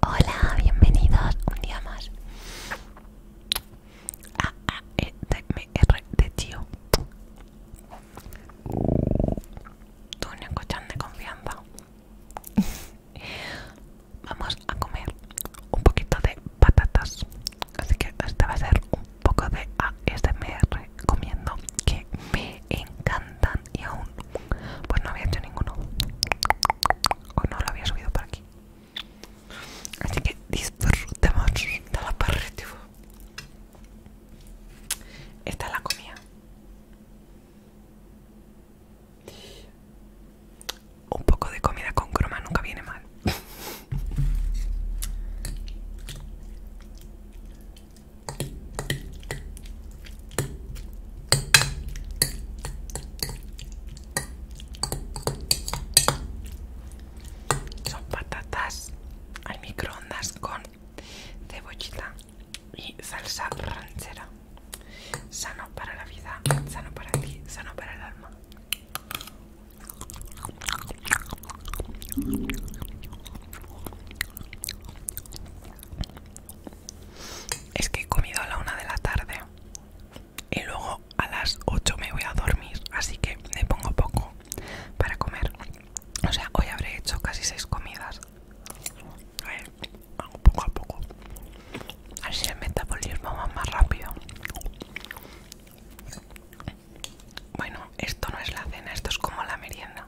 Hola, bienvenidos un día más a ah, ah, eh, de tío. Tú un escuchas de confianza. Vamos a comer un poquito de patatas así que este va a ser un poco de ASMR comiendo que me encantan y aún pues no había hecho ninguno o no lo había subido por aquí así que disfrutemos de la parrilla. esta es la comida un poco de comida con croma nunca viene mal son patatas al microondas con cebollita y salsa ranchera. Sano para la vida, sano para ti, sano para el alma. Es que he comido a la una de la tarde y luego a las 8 me voy a dormir, así que me pongo poco para comer. O sea, hoy habré hecho casi 6 comidas. A ver, hago poco a poco. Así el metabolismo va más rápido. Bueno, esto no es la cena, esto es como la merienda.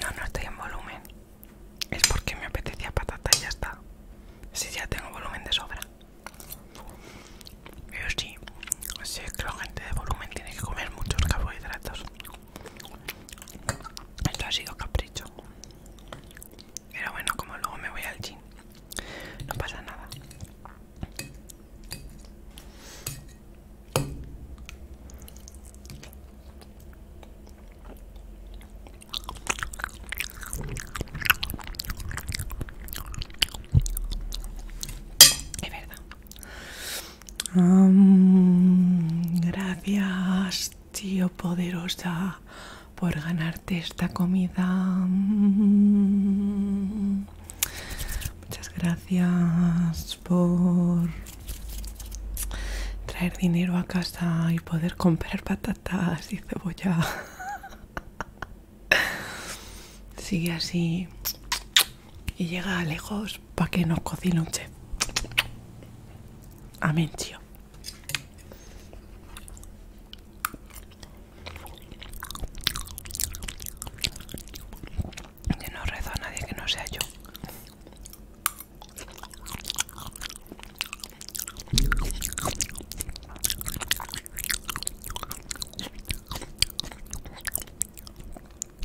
No, no estoy en volumen. Es porque me apetecía patata y ya está. Si ya tengo volumen de sobra. Pero sí, creo que la gente de volumen tiene que comer muchos carbohidratos. Esto ha sido capricho. Pero bueno, como luego me voy al gym, no pasa nada. Es verdad. Mm, gracias, tío poderosa, por ganarte esta comida. Mm. Muchas gracias por traer dinero a casa y poder comprar patatas y cebolla. Sigue así y llega lejos para que nos cocine un chef. Amén, tío. Yo no rezo a nadie que no sea yo.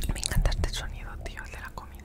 Me encanta este sonido, tío, el de la comida.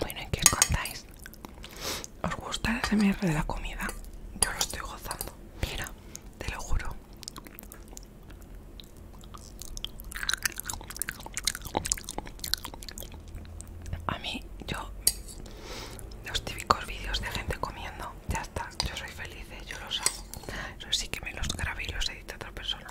Bueno, ¿y qué os contáis? ¿Os gusta el SMR de la comida? Yo lo estoy gozando. Mira te lo juro. A mí, yo, los típicos vídeos de gente comiendo, ya está, yo soy feliz, ¿eh? yo los hago. Eso sí que me los grabé y los edita otra persona.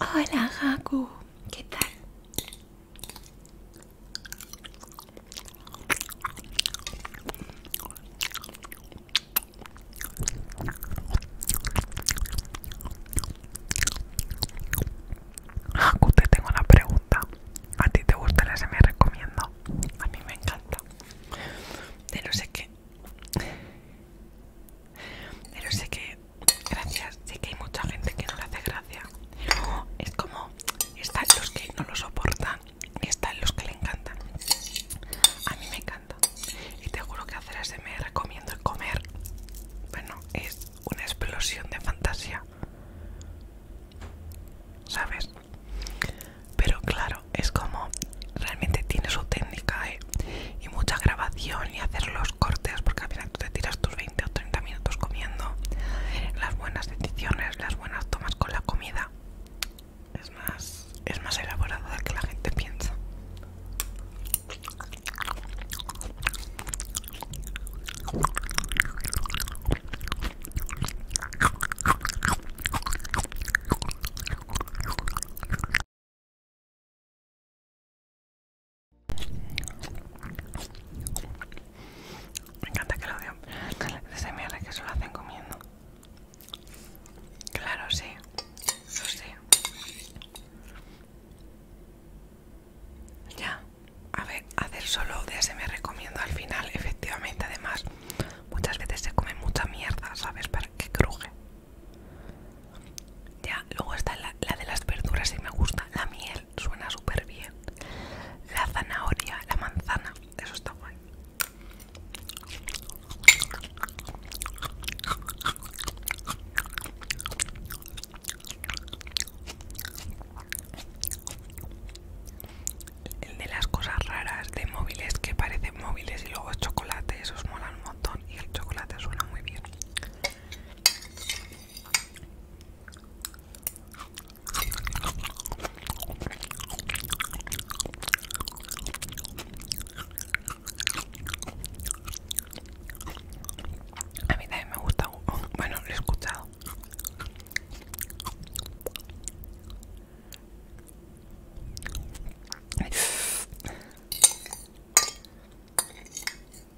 Hola Haku, ¿qué tal? Haku, te tengo una pregunta. ¿A ti te gusta el me recomiendo? A mí me encanta. Pero sé qué. Pero sé que Gracias, sí que hay mucha gente que no le hace gracia. es como, están los que no lo soportan y están los que le encantan. A mí me encanta. Y te juro que hacer me recomiendo el comer, bueno, es una explosión de fantasía. ¿Sabes? Pero claro, es como, realmente tiene su técnica, ¿eh? y mucha grabación y hacer los cortes, porque al tú te tiras tus 20 o 30 minutos comiendo. Las buenas decisiones, las buenas tomas con la comida es más, es más elaborado de que la gente piensa. Me encanta que lo digan de mierda que solo hacen comiendo. Claro, sí, lo sé. Ya, a ver, hacer solo de ASMR comiendo al final, efectivamente, además, muchas veces se come mucha mierda, ¿sabes? Para que cruje. Ya, luego está la, de las verduras y me gusta. La miel suena súper bien. La zanahoria, la manzana, eso está guay. El de las cosas raras de móviles que parecen móviles y luego es chocolate, esos molan un montón y el chocolate suena muy bien. A mí también me gusta, bueno, lo he escuchado.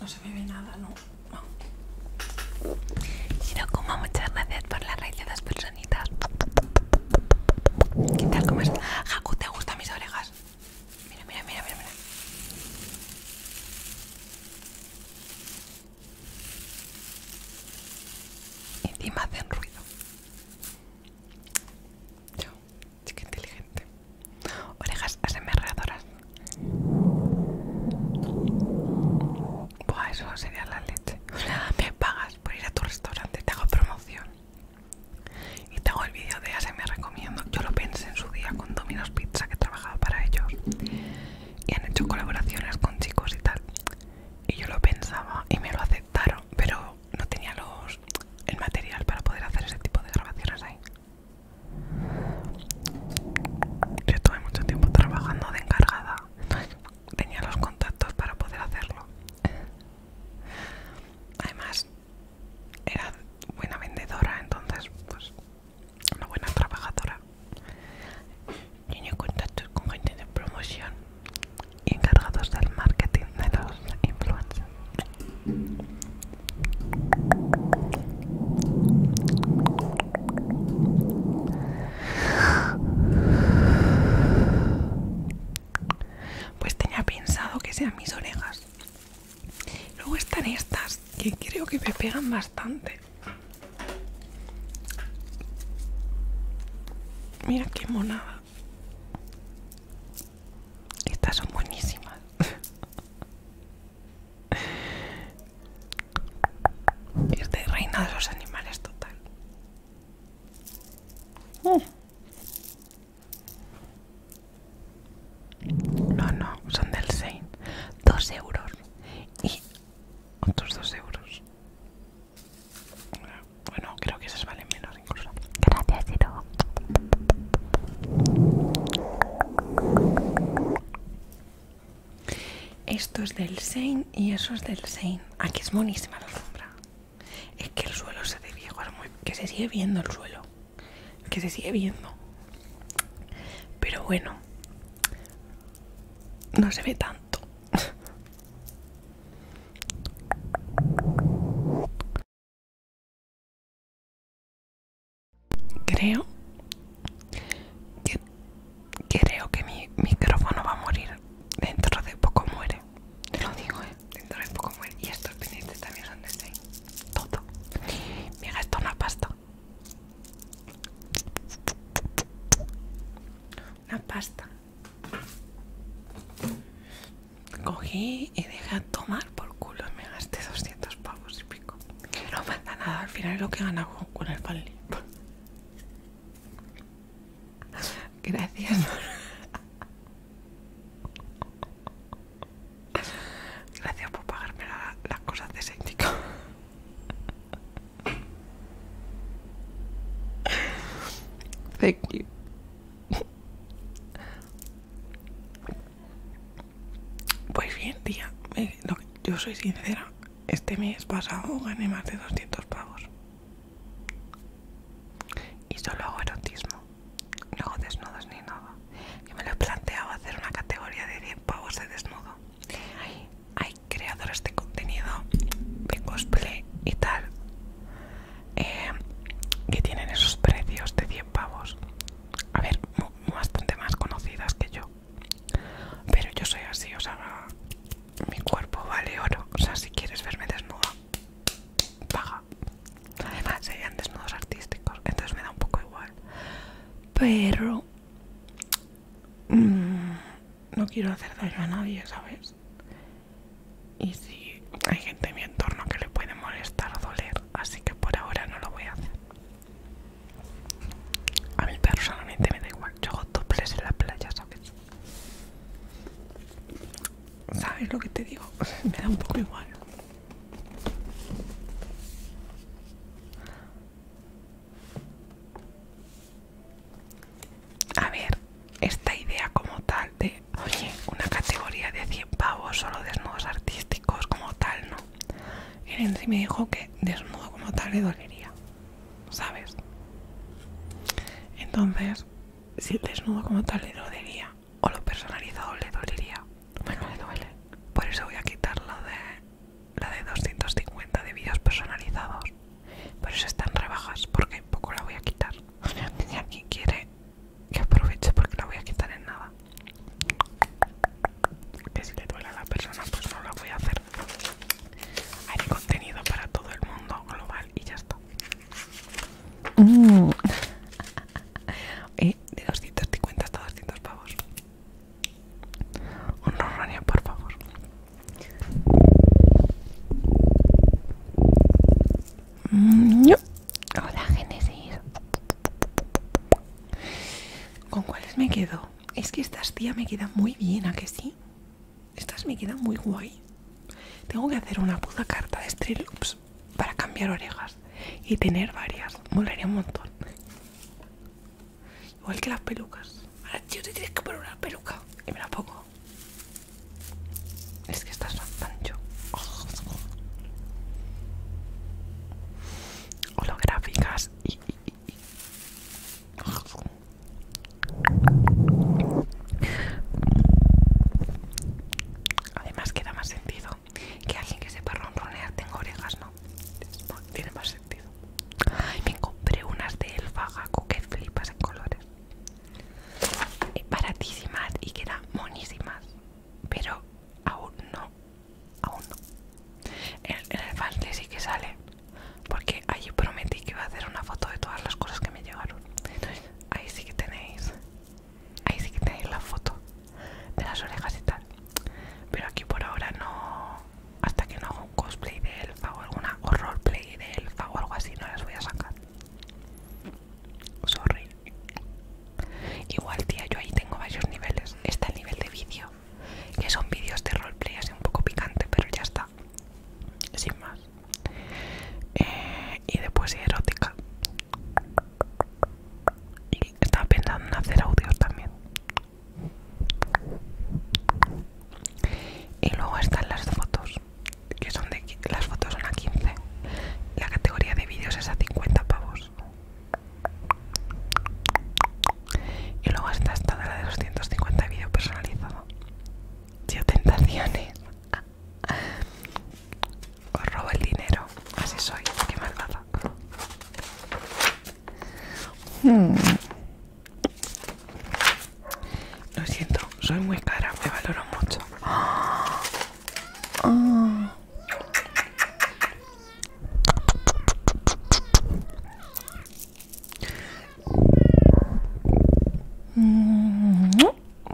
No se ve nada, no. no. coma muchas gracias por la raíz de dos personitas. ¿Qué tal? ¿Cómo estás? Haku, ¿te gustan mis orejas? Mira, mira, mira, mira, mira y Encima hacen ruido. Yo, chica inteligente. Orejas asemerradoras. Buah, eso sería la leche. me pagas por ir a tu restaurante, te hago promoción. Y te hago el vídeo de ASMR recomiendo. Yo lo pensé en su día con Domino's Pizza que trabajaba para ellos y han hecho colaboraciones con chicos y tal. Y yo lo pensaba y me lo aceptaron, pero no tenía los el material para poder hacer ese tipo de grabaciones ahí. Yo tuve mucho tiempo trabajando de encargada, tenía los contactos para poder hacerlo. Además, era buena vendedora, entonces pues una buena trabajadora. Tiene contacto con gente de promoción y encargados del marketing de los influencers. Pues tenía pensado que sean mis orejas. Luego están estas que creo que me pegan bastante. Mira qué monada. Estas son buenísimas. es de reina de los animales total. Oh. No, no, son del Sein. Dos euros. Y otros dos euros. Bueno, creo que esas valen menos incluso. Gracias, Iro Esto es del Sein y eso es del Sein. Aquí es monísima la alfombra. Es que el suelo se ve viejo, muy... que se sigue viendo el suelo. Que se sigue viendo. Pero bueno, no se ve tanto creo que creo que mi micrófono va a morir dentro de poco muere te lo digo eh dentro de poco muere y estos pendientes también son de este todo me gastó una pasta una pasta. Cogí y dejé a tomar por culo y me gasté 200 pavos y pico. Que no manda nada, al final es lo que gana con el pan Gracias. Gracias por pagarme las cosas de Séntico. Thank you. Pues bien, tía, yo soy sincera. Este mes pasado gané más de 200 pavos. Y solo hago erotismo. No hago desnudos ni nada. Yo me lo he planteado hacer una categoría de 10 pavos de desnudo. Ahí hay creadores de contenido de cosplay y tal eh, que tienen esos precios de 100 pavos a ver bastante más conocidas que yo pero yo soy así o sea mi cuerpo vale oro o sea si quieres verme desnuda paga además serían desnudos artísticos entonces me da un poco igual pero Mm, no quiero hacer daño a nadie, ¿sabes? Y si hay gente en mi entorno que le puede molestar o doler, así que por ahora no lo voy a hacer. A mí personalmente me da igual, yo hago dobles en la playa, ¿sabes? ¿Sabes lo que te digo? me da un poco igual. A ver, esta idea como tal de, oye, una categoría de 100 pavos solo desnudos artísticos como tal, ¿no? El en sí me dijo que desnudo como tal le dolería, ¿sabes? Entonces, si el desnudo como tal le dolería o lo personalizado le dolería, bueno, le duele. Por eso voy a quitarlo de la de 250 de vídeos personalizados pero eso están rebajas porque poco la voy a quitar Y si quiere que aproveche porque la voy a quitar en nada que si le duele a la persona pues no la voy a hacer hay contenido para todo el mundo global y ya está mm. eh, de 250 hasta 200 pavos un por favor. Hola, genesis ¿Con cuáles me quedo? Es que estas tía me quedan muy bien, ¿a que sí? Estas me quedan muy guay. Tengo que hacer una puta carta de Stray Loops para cambiar orejas y tener varias. Molaría un montón. Igual que las pelucas. Ahora tío, te tienes que poner una peluca y me la pongo. Es que estás tan pancho. Holográficas Además queda más sentido que alguien que sepa ronronear tenga orejas, ¿no? Tiene más sentido me compré unas de Elfa que flipas en colores. Eh, baratísimas y que eran monísimas. Pero aún no. Aún no. En el, fancy sí que sale. Porque allí prometí que iba a hacer una foto de todas las cosas que me llegaron. ahí sí que tenéis. Ahí sí que tenéis la foto de las orejas y tal. Pero aquí por ahora no hasta que no haga un cosplay de elfa o alguna roleplay de elfa o algo así no las voy a sacar sorry igual tía yo ahí tengo varios niveles está el nivel de vídeo que son vídeos de roleplay así un poco picante pero ya está sin más eh, y después erótica y estaba pensando en hacer audio también y luego están las fotos, que son de las fotos son a 15. La categoría de vídeos es a 50 pavos. Y luego está esta la de los vídeos personalizado. ¡Qué tentaciones. Os robo el dinero. Así soy. Qué malvada. Hmm. Lo siento, soy muy cara, me valoro mucho. Ah.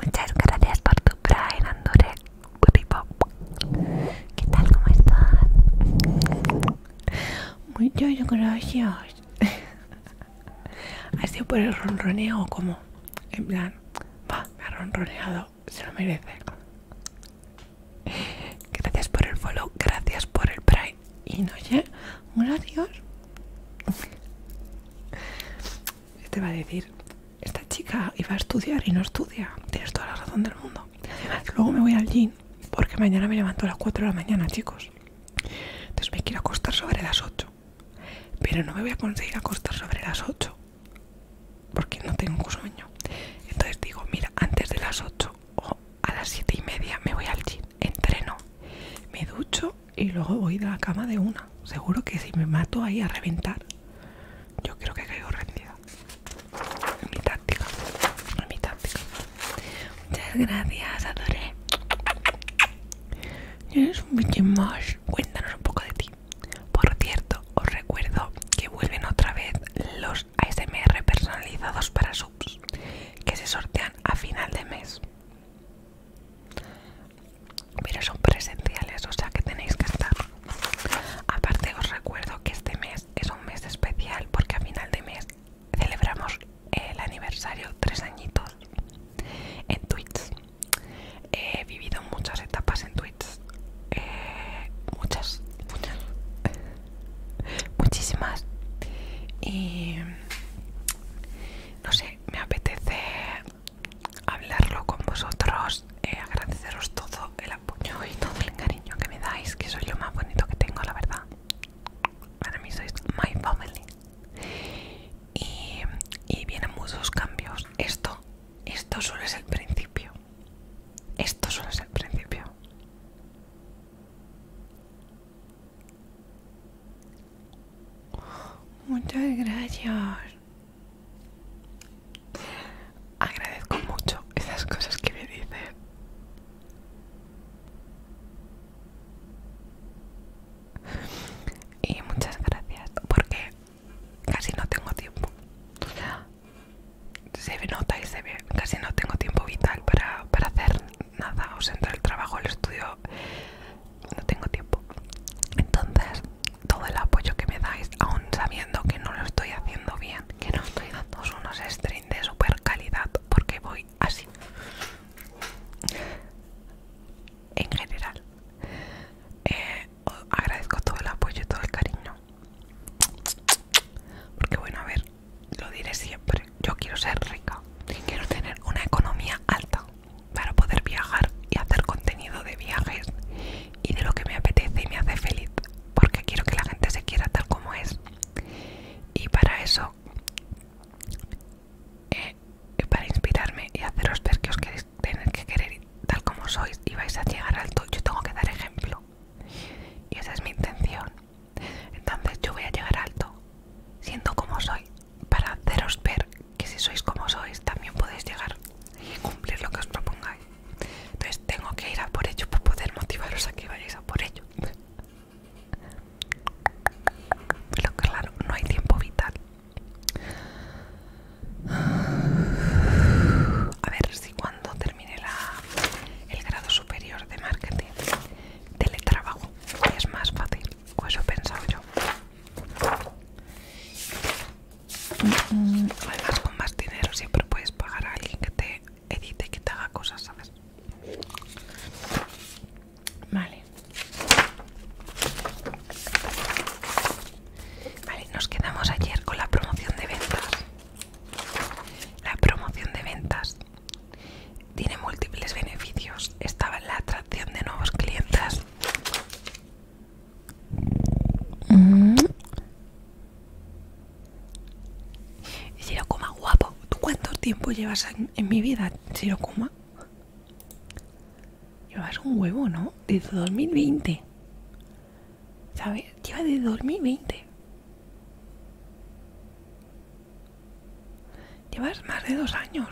Muchas gracias por tu Andure. ¿Qué tal? ¿Cómo estás? Muchas gracias. Ha sido por el ronroneo, como en plan, va, me ha ronroneado, se lo merece. Gracias por el follow, gracias por el prime. Y no sé, gracias. Este va a decir, esta chica iba a estudiar y no estudia. Tienes toda la razón del mundo. Luego me voy al gym porque mañana me levanto a las 4 de la mañana, chicos. Entonces me quiero acostar sobre las 8. Pero no me voy a conseguir acostar sobre las 8. Porque no tengo sueño. Entonces digo, mira, antes de las 8 o a las 7 y media me voy al gym, entreno, me ducho y luego voy a la cama de una. Seguro que si me mato ahí a reventar, yo creo que caigo rendida. Mi táctica, Es mi táctica. Muchas gracias, adoré. Eres un más Cuéntanos un poco de ti. Por cierto, os recuerdo que vuelven otra vez los ASMR personalizados para subs que se sortean a final de mes. Pero son presenciales, o sea que tenéis que estar. Aparte os recuerdo que este mes es un mes especial porque a final de mes celebramos el aniversario tres añitos en tweets he vivido muchas etapas en tweets eh, muchas muchísimas y no sé me apetece hablarlo con vosotros eh, agradeceros todo el apoyo y todo el cariño que me dais que soy lo más bonito que tengo la verdad para mí sois my family y, vienen muchos cambios esto esto solo es el principio esto solo es el principio muchas gracias agradezco mucho esas cosas que me dicen y muchas gracias, porque casi no tengo tiempo. Se nota y se ve, casi no tengo tiempo vital para, hacer nada. O sea, entre el trabajo, el estudio, no tengo tiempo. Entonces, todo el apoyo que me dais, aún sabiendo que no lo estoy haciendo bien, que no estoy dando unos streams de super calidad, porque voy así en general eh, agradezco todo el apoyo y todo el cariño porque bueno a ver lo diré siempre yo quiero ser rica y quiero tener una economía alta para poder viajar y hacer contenido de viajes y de lo que me apetece y me hace feliz porque quiero que la gente se quiera tal como es y para eso eh, para inspirarme y haceros ver que os queréis tener que querer tal como sois y vais a llegar alto, yo tengo que dar ejemplo. Y esa es mi intención. Entonces yo voy a llegar alto, siendo como soy, para haceros ver que si sois como sois también podéis llegar y cumplir lo que os propongáis. Entonces tengo que ir a por ello para poder motivaros a que vayáis a por ello. Pero claro, no hay tiempo vital. A ver si cuando termine la, el grado superior de marketing, teletrabajo, es más fácil. O eso he pensado yo. Mm, mm, además, con más dinero siempre puedes pagar a alguien que te edite que te haga cosas, ¿sabes? Vale. Vale, nos quedamos ayer con la promoción de ventas. La promoción de ventas tiene múltiples beneficios. Estaba en la atracción de nuevos clientes. Y si no, coma guapo. ¿Tú cuánto tiempo llevas en, mi vida, Shirokuma. Llevas un huevo, ¿no? Desde 2020. ¿Sabes? Lleva de 2020. Llevas más de dos años.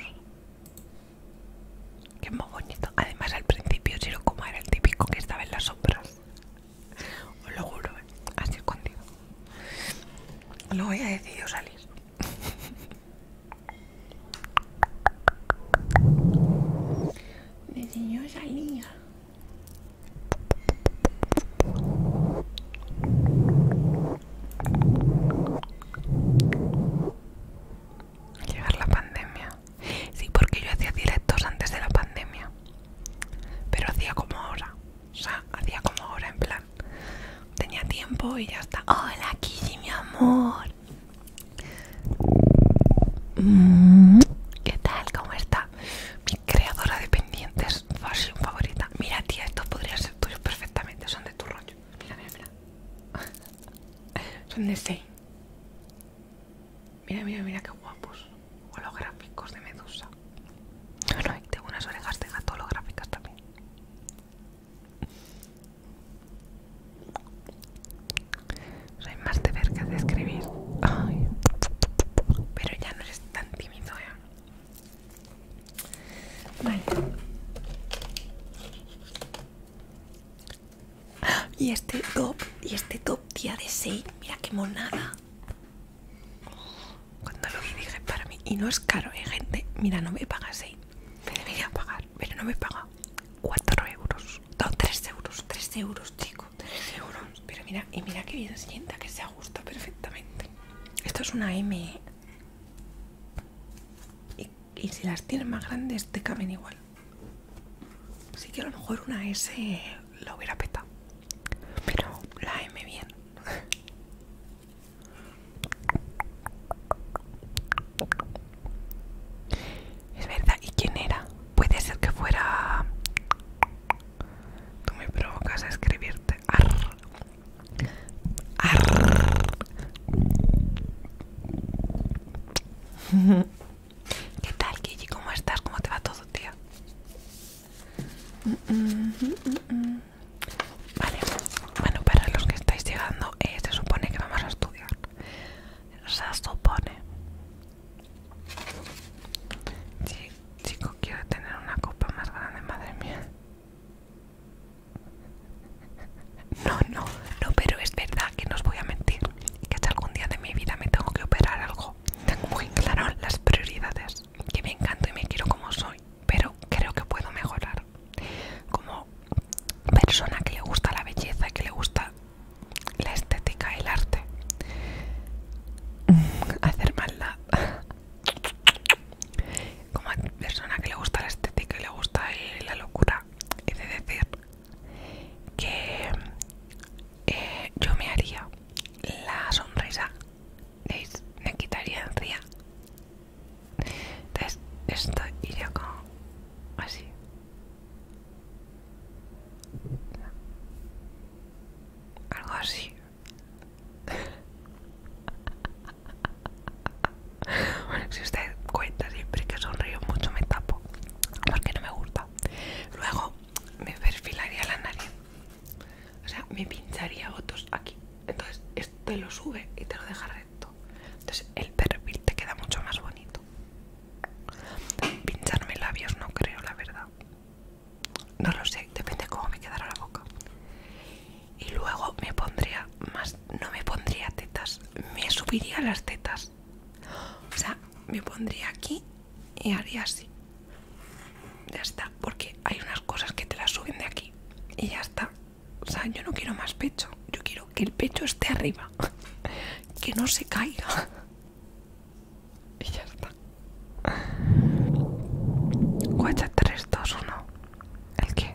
Qué muy bonito. Además, al principio Shirokuma era el típico que estaba en las sombras. Os lo juro, así ¿eh? así escondido ya he decidido salir. Decidió salir. Llegar la pandemia. Sí, porque yo hacía directos antes de la pandemia. Pero hacía como ahora. O sea, hacía como ahora, en plan. Tenía tiempo y ya está. Hola, Kiji, mi amor. Mm, ¿Qué tal? ¿Cómo está? Mi creadora de pendientes, fashion favorita. Mira, tía, estos podrían ser tuyos perfectamente. Son de tu rollo. Mira, mira, mira. Son de Mira, mira, mira qué guapos. Holográficos de Medusa. Bueno, tengo unas orejas de gato holográficas también. Soy más de ver que de escribir. Pero ya no eres tan tímido, ¿eh? Vale. Ah, y este top, y este top día de 6, mira qué monada. Cuando lo dije para mí, y no es caro, ¿eh, gente? Mira, no me paga 6, ¿eh? Me debería pagar, pero no me paga. 4 euros, no, 3 euros, 3 euros, chico, 3 euros. Pero mira, y mira que bien sienta, que se ajusta perfectamente. Esto es una M. ¿eh? Y, y si las tienes más grandes, te caben igual. Así que a lo mejor una S la hubiera petado. Pero la M bien. Es verdad, ¿y quién era? Puede ser que fuera... Tú me provocas a escribirte. ¿Qué tal, Gigi? ¿Cómo estás? ¿Cómo te va todo, tía? Vale, bueno, para los que estáis llegando, eh, se supone que vamos a estudiar. Se supone. Sí, chico, quiero tener una copa más grande, madre mía. No, no, no, pero es verdad que no os voy a mentir. Que hasta algún día de mi vida me tengo que operar algo. Tengo muy claro las prioridades. Que me encanto y me quiero como soy pero creo que puedo mejorar. Como persona que le gusta la belleza, Y que le gusta la estética, Y el arte. Hacer maldad. Como persona que le gusta la estética y le gusta la locura, he de decir que eh, yo me haría la sonrisa ¿Veis? Me quitaría río Entonces, esto iría como así. Algo así. bueno, si usted cuenta siempre que sonrío mucho me tapo. Porque no me gusta. Luego me perfilaría la nariz. O sea, me pincharía otros aquí. Entonces, te lo sube y te lo deja recto. Entonces el perfil te queda mucho más bonito. Pincharme labios no creo, la verdad. No lo sé, depende cómo me quedara la boca. Y luego me pondría más, no me pondría tetas, me subiría las tetas. O sea, me pondría aquí y haría así ya está, porque hay unas cosas que te las suben de aquí y ya está. O sea, yo no quiero más pecho, yo quiero que el pecho esté arriba, que no se caiga. Y ya está. Guacha tres dos uno ¿El qué?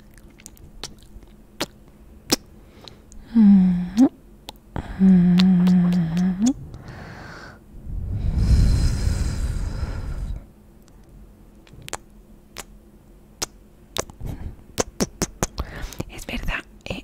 Es verdad, eh.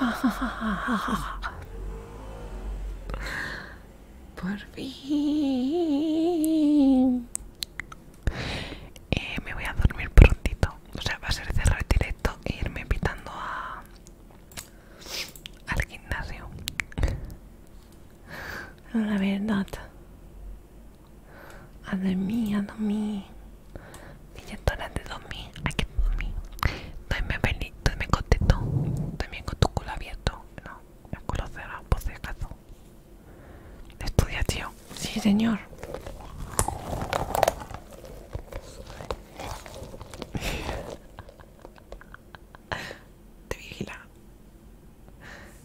Por fin. Eh, me voy a dormir prontito. O sea, va a ser cerrar directo e irme invitando a... al gimnasio. La verdad a de mí, a de mí. de 2000, aquí 2000. feliz, contento. También con tu culo abierto. No, mi culo cerrado, por Estudia, tío. Sí, señor. Te vigila.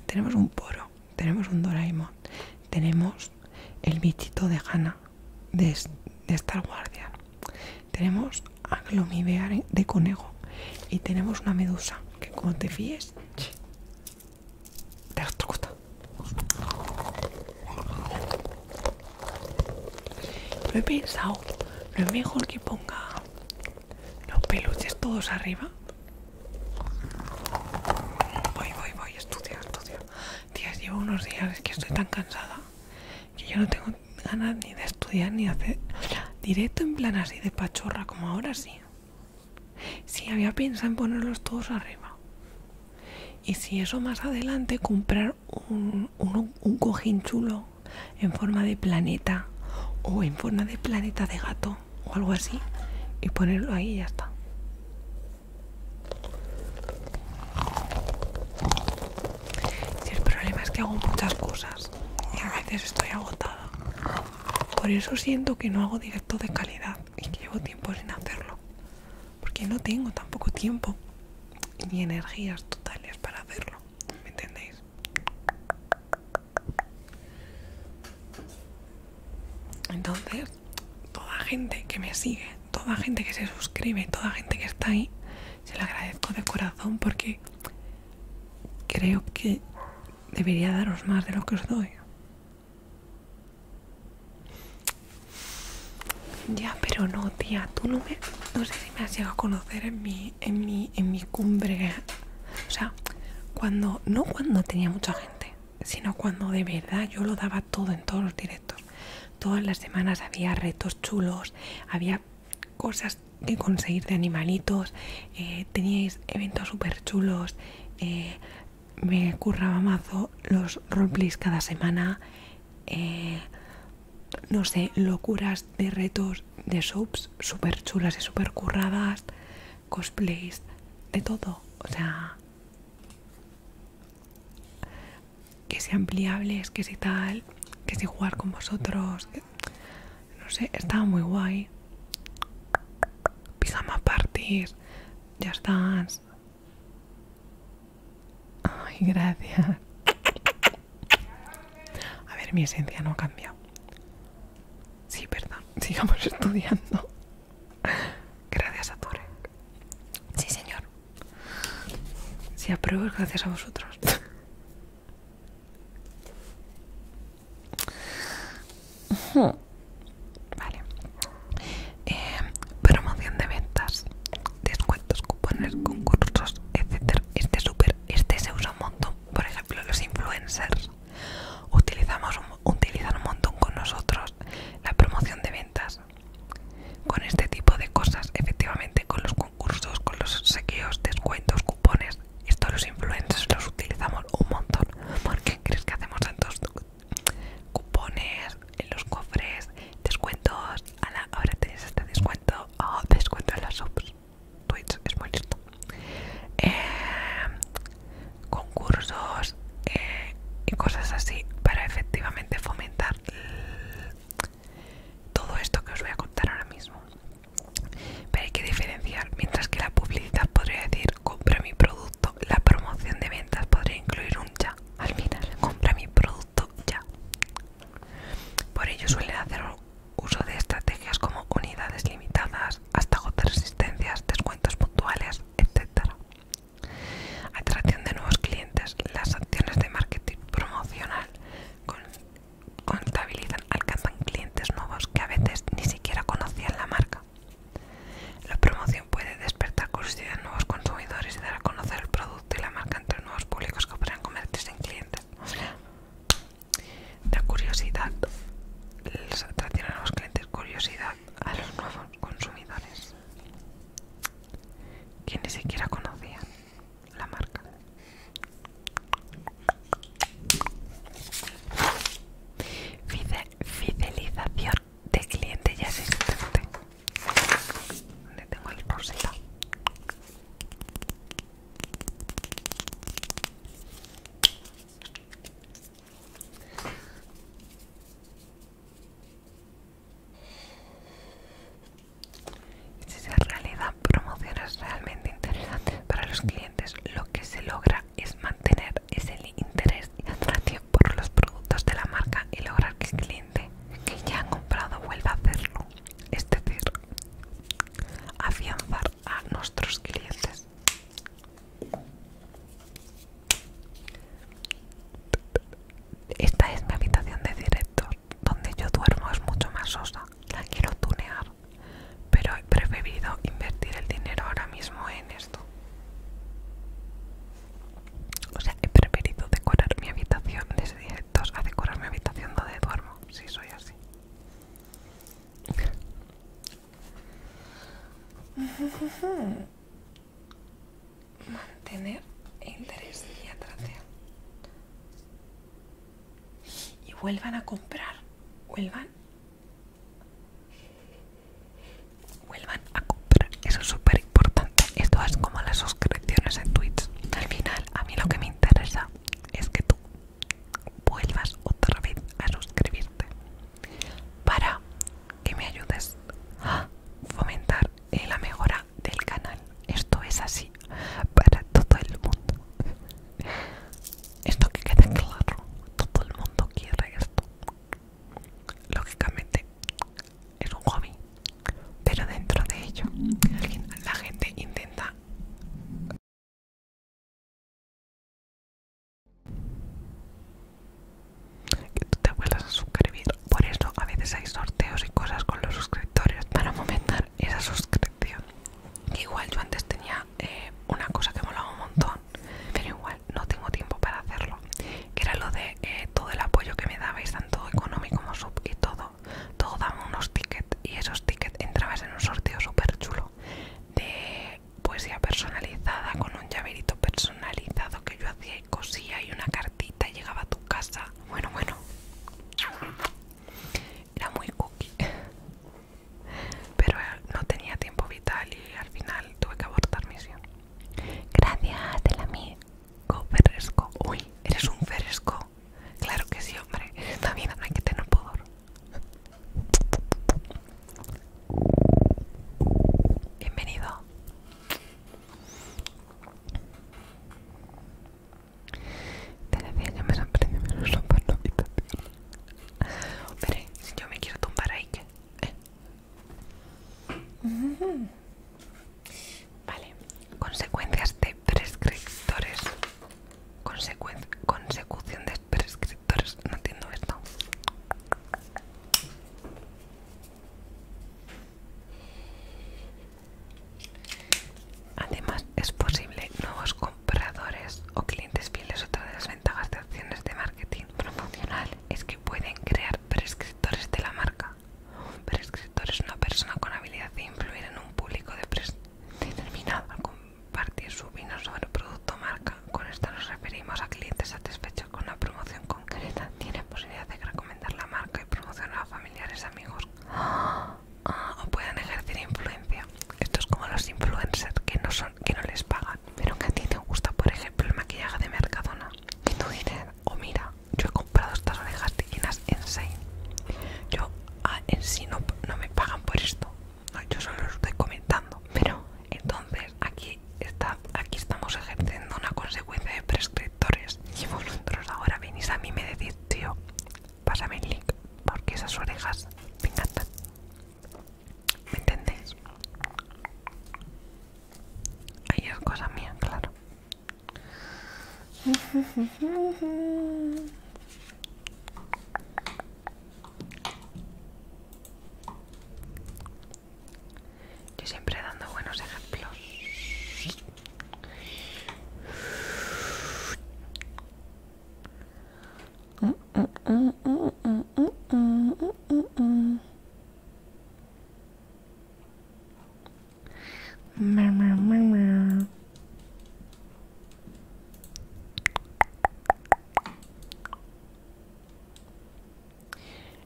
Tenemos un poro tenemos un Doraemon, tenemos el bichito de gana de, Star Guardian, tenemos a de Conego y tenemos una medusa que como te fíes te estrocota. Lo he pensado, lo mejor que ponga los peluches todos arriba Voy, voy, voy, estudio, estudio. Tías, llevo unos días, que estoy tan cansada que yo no tengo ganas ni de estudiar ni hacer directo en plan así de pachorra, como ahora sí. Si había pensado en ponerlos todos arriba. Y si eso más adelante, comprar un, un cojín chulo en forma de planeta o en forma de planeta de gato o algo así y ponerlo ahí y ya está. Si el problema es que hago muchas cosas y a veces estoy agotada. Por eso siento que no hago directo de calidad y que llevo tiempo sin hacerlo. Porque no tengo tampoco tiempo ni energías totales para hacerlo. ¿Me entendéis? Entonces, toda gente que me sigue, toda gente que se suscribe, toda gente que está ahí, se la agradezco de corazón porque creo que debería daros más de lo que os doy. Ya, pero no, tía, tú no me... No sé si me has llegado a conocer en mi, en mi, en mi cumbre. O sea, cuando... No cuando tenía mucha gente sino cuando de verdad yo lo daba todo en todos los directos. Todas las semanas había retos chulos, había cosas que conseguir de animalitos, eh, teníais eventos súper chulos, eh, me curraba mazo los roleplays cada semana, eh, no sé, locuras de retos de subs súper chulas y súper curradas cosplays, de todo. O sea, que sean ampliables, que si tal, que si jugar con vosotros. no sé, estaba muy guay. a partir, ya estás. Ay, gracias. A ver, mi esencia no ha cambiado. Sí, perdón, sigamos estudiando. Gracias a Torek. Sí, señor. Si apruebo, gracias a vosotros. Eh, promoción de ventas, descuentos, cupones, concursos, etc. Este súper, este se usa un montón. Por ejemplo, los influencers. Utilizamos un utilizan un montón con nosotros la promoción de ventas con este tipo de cosas efectivamente con los concursos con los sequeos descuentos cupones esto los influencers los utilizamos un montón porque crees que hacemos tantos cupones en los cofres descuentos ahora tienes este descuento oh, descuento en las subs Twitch es muy listo eh, concursos eh, y cosas así para efectivamente fomentar todo esto que os voy a contar ahora mismo. Pero hay que diferenciar, mientras que la publicidad podría decir compra mi producto, la promoción de ventas podría incluir un ya. Al final, compra mi producto ya. Por ello suelen hacer uso de estrategias como unidades limitadas, hasta agotar resistencias, descuentos puntuales, etc. Atracción de nuevos clientes. Las acciones de marketing promocional contabilizan, alcanzan clientes nuevos que a veces ni siquiera conocían la marca. La promoción puede despertar curiosidad en nuevos consumidores y dar a conocer el producto y la marca entre nuevos públicos que podrán convertirse en clientes. la curiosidad les a los clientes curiosidad a los nuevos consumidores que ni siquiera conocían la marca. Fidelización de cliente ya existente. Donde tengo el bolsita. Si se realizan promociones realmente interesantes para los clientes, lo que se logra es mantener ese interés y atracción por los productos de la marca y lograr que el cliente que ya ha comprado vuelva a hacerlo. Es decir, afianzar a nuestros clientes. Esta es mi habitación de directos donde yo duermo es mucho más sosa, la quiero tunear, pero he preferido invertir el dinero ahora mismo en esto. O sea, he preferido decorar mi habitación De directos a decorar mi habitación donde duermo, si soy así. mantener interés y atracción y vuelvan a comprar vuelvan vuelvan a comprar eso es súper importante esto es como las suscripciones en Twitch al final a mí lo que me interesa es que tú vuelvas otra vez a suscribirte para que me ayudes a fomentar la mejora del canal. Esto es así para todo el mundo. Esto que quede claro, todo el mundo quiere esto. Lógicamente es un hobby, pero dentro de ello la gente intenta que tú te vuelvas a suscribir. Por eso a veces hay sorteos y cosas con los suscriptores para aumentar esa suscripción. Igual yo antes tenía eh, una cosa que me molaba un montón, pero igual no tengo tiempo para hacerlo, que era lo de eh, todo el apoyo que me dabais, tanto económico como sub y todo. Todo daba unos tickets y esos tickets entrabas en un sorteo súper chulo de poesía personalizada con un llaverito personalizado que yo hacía y cosía y una cartita y llegaba a tu casa. Bueno, bueno. Era muy cookie. Pero eh, no tenía tiempo vital y al final tuve que abortar misión. Gracias, Te la mí. Ferresco. Uy, eres un fresco Claro que sí, hombre. También hay que tener pudor. Bienvenido. Te decía, ya me sorprende menos la habitación. Pero si yo me quiero tumbar ahí, ¿qué? Eh. Vale, consecuencias de prescriptores. consecución de prescriptores. No entiendo esto. Además, es posible nuevos compradores o clientes fieles. Otra de las ventajas de acciones de marketing promocional es que pueden crear prescriptores de la marca. Un prescriptor es una persona con habilidad de influir en un público determinado al compartir su vino sobre producto marca. Con esto nos referimos a clientes satisfechos con una promoción concreta, posibilidad de recomendar la marca y promocionar a familiares, amigos ah, o pueden ejercer influencia. Esto es como los influencers que no son, que no les pagan, pero que a ti te gusta, por ejemplo, el maquillaje de Mercadona. Que tú dices, o oh, mira, yo he comprado estas orejas llenas en Yo ah, en sí no, me pagan por esto, yo solo lo estoy comentando, pero entonces aquí está, aquí estamos ejerciendo una consecuencia de prescriptores. Y vosotros ahora venís a mí y me decís, tío, pásame el link, porque esas orejas me encantan. ¿Me entendés? Ahí es cosa mía, claro. Yo siempre dando buenos ejemplos.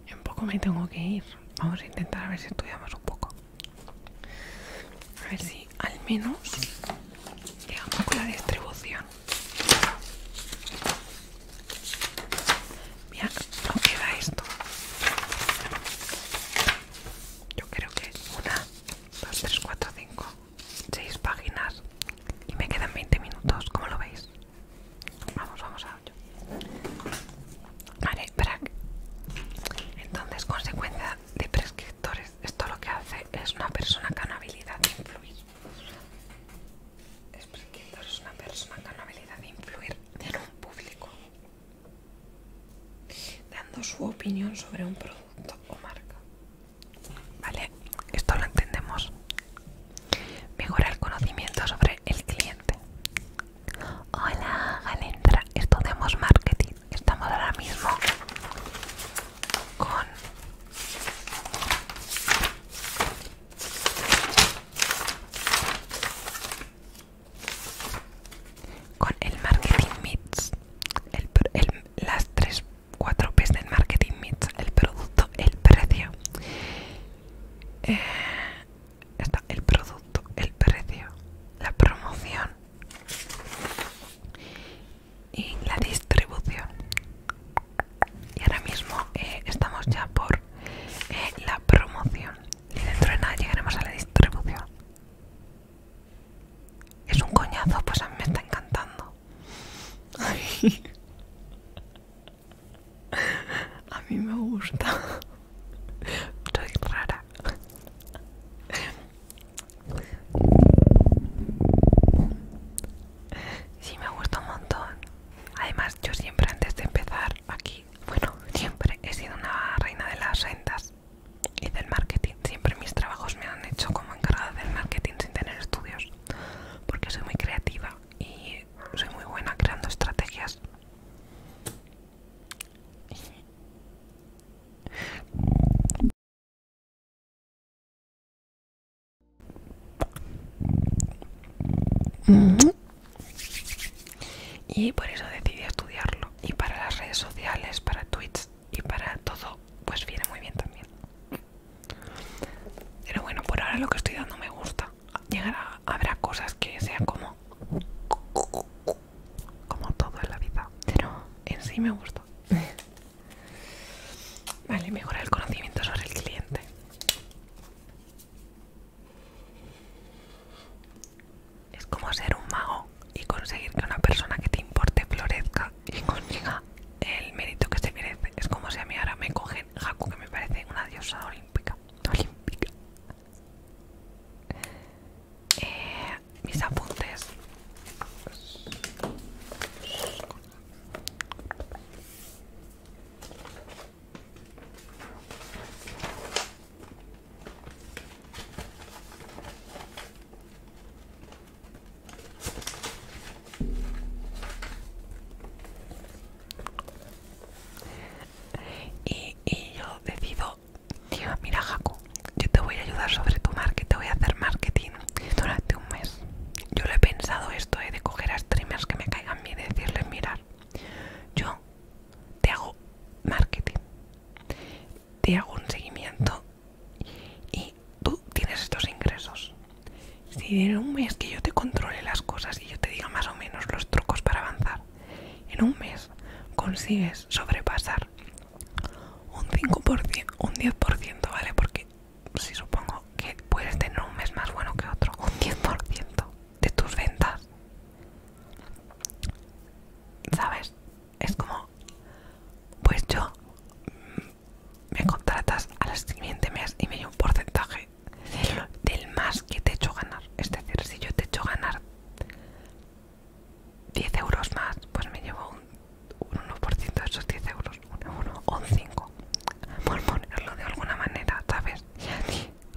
En poco me tengo que ir. Vamos a intentar a ver si estudiamos un poco. A ver si al menos llegamos con la distribución. Mira, no queda esto. Yo creo que una, dos, tres, cuatro, cinco, seis páginas. Y me quedan 20 minutos, ¿cómo lo veis? Vamos, vamos a ello. Vale, para entonces, consecuencia de prescriptores, esto lo que hace es una persona con habilidad de influir. Es prescriptor, una persona con habilidad de influir en un público, dando su opinión sobre un producto o marca. Vale, esto lo entendemos Mejora el conocimiento sobre el cliente. Hola, Galentra. Estudiamos marketing. Estamos ahora mismo con el marketing mix las 3 4 P's del marketing mix el producto el precio eh, está el producto, el precio, la promoción y la distribución. Y ahora mismo eh, estamos ya por eh, la promoción y dentro de nada llegaremos a la distribución. Es un coñazo, pues a mí me está encantando. A mí me gusta. Soy rara. Sí, me gusta un montón. Además, yo siempre antes de empezar aquí, bueno, siempre he sido una reina de las rentas y del marketing. Siempre mis trabajos me han hecho como encargada del marketing sin tener estudios, porque soy muy creativa y soy muy buena creando estrategias Mm. Y por eso decidí estudiarlo. Y para las redes sociales, para Twitch y para todo, pues viene muy bien también. Pero bueno, por ahora lo que estoy dando me gusta llegar a, habrá cosas que sean como como todo en la vida pero en sí me gustó vale mejorar el conocimiento sobre el cliente es como ser un mago y conseguir que una persona que te importe florezca y consiga el mérito que se merece es como si a mí ahora me cogen Haku que me parece una diosa olímpica olímpica. Eh, mis apuntes y, yo decido, mira Jaco, yo te voy a ayudar sobre tu marketing, te voy a hacer marketing durante un mes. Yo lo he pensado esto, he eh, de coger a streamers que me caigan bien y decirles, mirar, yo te hago marketing, te hago un seguimiento y tú tienes estos ingresos. Si en un mes que yo te controle las cosas y yo te diga más o menos los trucos para avanzar, en un mes consigues sobrepasar un 5%, un 10%, ¿vale? Porque si supongo que puedes tener un mes más bueno que otro, un 10% de tus ventas. ¿Sabes? Es como, pues yo mm, me contratas al siguiente mes y me dio un porcentaje del, más que te hecho ganar. Es decir, si yo te hecho ganar 10 euros más, pues me llevo un, 1% de esos 10 euros, un o un 5. Por ponerlo de alguna manera, ¿sabes?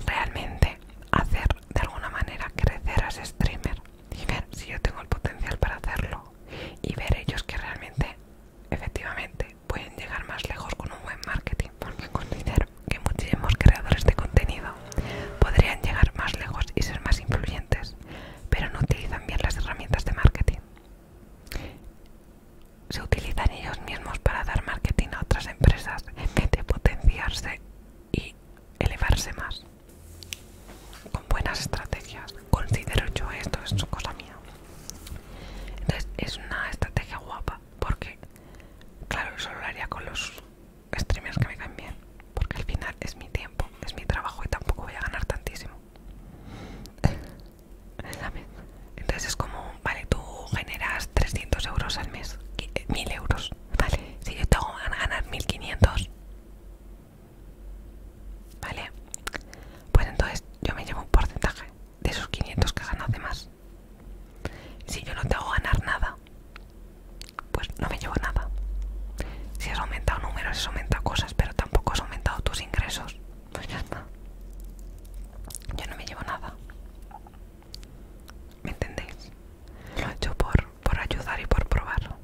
Realmente hacer de alguna manera crecer a ese streamer y ver si yo tengo el potencial para hacerlo y ver ellos que realmente, efectivamente, pueden llegar más lejos con un buen marketing porque considero que muchísimos creadores de contenido podrían llegar más lejos y ser más influyentes, pero no utilizan bien las herramientas de marketing. Se utilizan ellos mismos para dar marketing a otras empresas en vez de potenciarse y elevarse más. Con buenas estrategias, considero yo esto, es cosa mía. Entonces es una estrategia guapa, porque claro eso lo haría con los streamers que me caen bien porque al final es mi tiempo es mi trabajo y tampoco voy a ganar tantísimo entonces es como vale tú generas 300 euros al mes 1000 eh, euros vale si yo tengo que ganar 1500 vale pues entonces yo me llevo un porcentaje de esos 500 que ganas de más si yo no te hago ganar nada, pues no me llevo nada. Si has aumentado números, has aumentado cosas, pero tampoco has aumentado tus ingresos, pues ya está. Yo no me llevo nada. ¿Me entendéis? Lo he hecho por, por ayudar y por probar.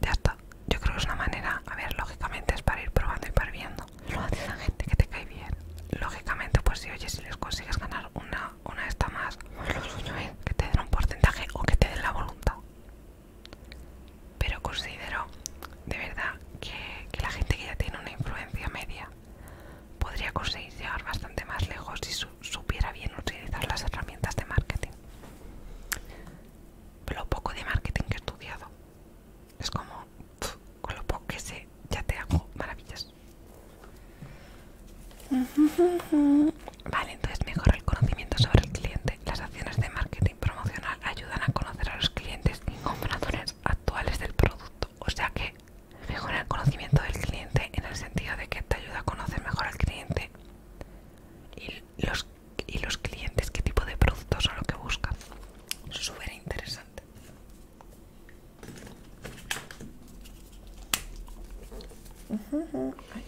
Ya está. Yo creo que es una manera, a ver, lógicamente es para ir probando y para viendo. Lo la gente que te cae bien. Lógicamente, pues si oye, si les consigues ganar una una, está más. Lo suyo es que te den un porcentaje o que te den la voluntad. Pero considero de verdad que, la gente que ya tiene una influencia media podría conseguir llegar bastante más lejos si supiera bien utilizar las herramientas de marketing. Lo poco de marketing que he estudiado es como con lo poco que sé ya te hago maravillas. Vale, entonces mejora el conocimiento sobre el cliente. Las acciones de marketing promocional ayudan a conocer a los clientes y compradores actuales del producto. O sea que mejora el conocimiento del cliente en el sentido de que te ayuda a conocer mejor al cliente y los, y los clientes, qué tipo de productos son lo que buscan. Súper interesante. Hay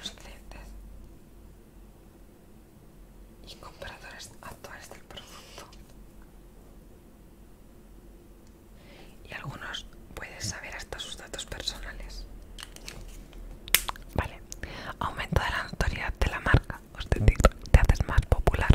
los clientes y compradores actuales del producto. Y algunos puedes saber hasta sus datos personales. Vale. aumento de la notoriedad de la marca. Os te, te haces más popular.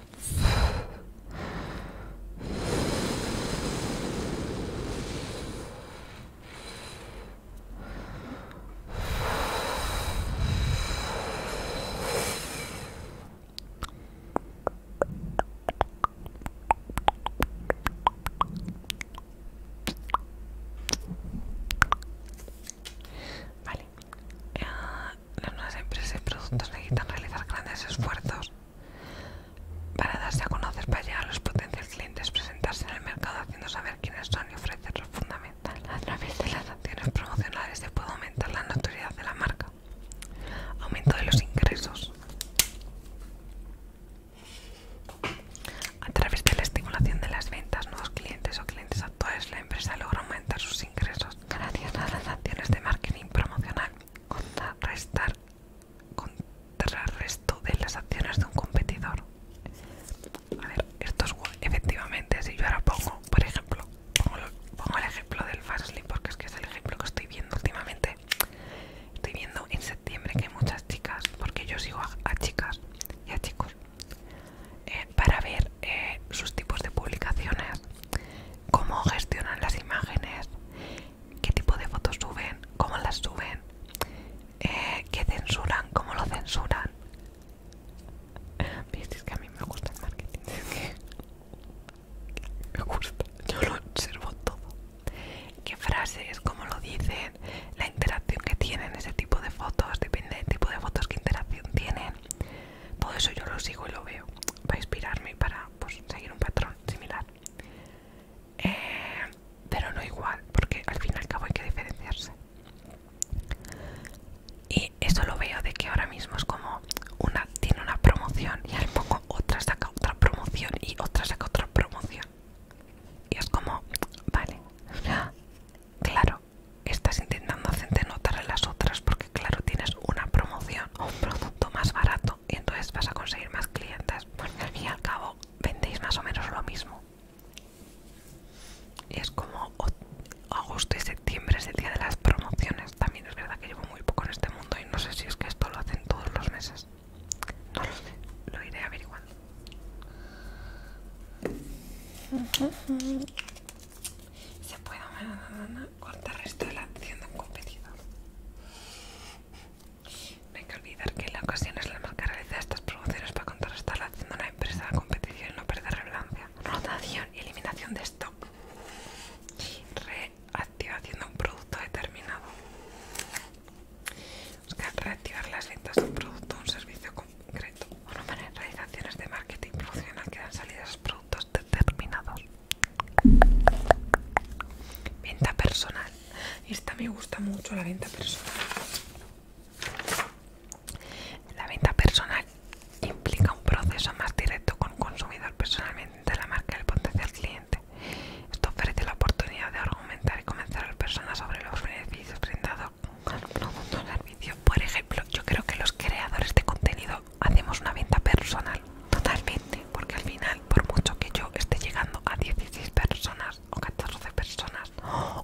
Vale. Eh, las nuevas empresas y productos necesitan realizar grandes esfuerzos para darse a conocer para llegar a los potenciales clientes, presentarse en el mercado haciendo saber quiénes son y ofrecer lo fundamental. A través de las acciones promocionales se puede aumentar la notoriedad de la marca. Aumento de los ingresos. A través de la estimulación de las ventas, nuevos clientes o clientes actuales, la empresa logra aumentar sus ingresos. Gracias a las acciones de marketing promocional, restar contra el resto de las acciones de un competidor. A ver, esto es efectivamente, si yo ahora pongo, por ejemplo, pongo, el ejemplo del fastly, porque es que es el ejemplo que estoy viendo últimamente. Estoy viendo en septiembre que hay muchas chicas, porque yo sigo a, chicas y a chicos, eh, para ver eh, sus tipos de publicaciones, cómo gestionan las imágenes, qué tipo de fotos suben, cómo las suben, eh, qué censuran, cómo lo censuran. Visteis que a mí me gusta el marketing, me gusta, yo lo observo todo. Qué frases, cómo lo dicen, la interacción que tienen ese tipo de fotos, depende del tipo de fotos que interacción tienen. Todo eso yo lo sigo y lo veo para inspirarme y para pues, seguir un patrón similar. Eh, pero no igual porque al fin y al cabo hay que diferenciarse y eso lo veo de que ahora mismo es como una tiene una promoción y al poco otra saca otra promoción y otra saca otra promoción y es como vale claro estás intentando hacerte notar a las otras porque claro tienes una promoción o un producto más barato y entonces vas a conseguir más clientes porque al fin y al cabo vendéis más o menos lo mismo y es como agosto y septiembre es el día de las promociones también es verdad que llevo muy poco en este mundo y no sé si es que esto lo hacen todos los meses no lo sé lo iré averiguando se puede cortar resto de la acción de un competidor no hay que olvidar que en la ocasión es la marca de estas promociones para contrarrestar la acción de una empresa, la competición y no perder relevancia. Rotación y eliminación de stock. Reactivación de un producto determinado. reactivar las ventas de un producto o un servicio concreto. O no realizaciones de marketing profesional que dan salida a esos productos determinados. Venta personal. Esta me gusta mucho, la venta personal. La venta personal implica un proceso más directo con el consumidor personalmente de la marca el potencial cliente. Esto ofrece la oportunidad de argumentar y convencer a la persona sobre los beneficios brindados con producto servicio. Por ejemplo, yo creo que los creadores de contenido hacemos una venta personal totalmente, porque al final, por mucho que yo esté llegando a 16 personas, o 14 personas,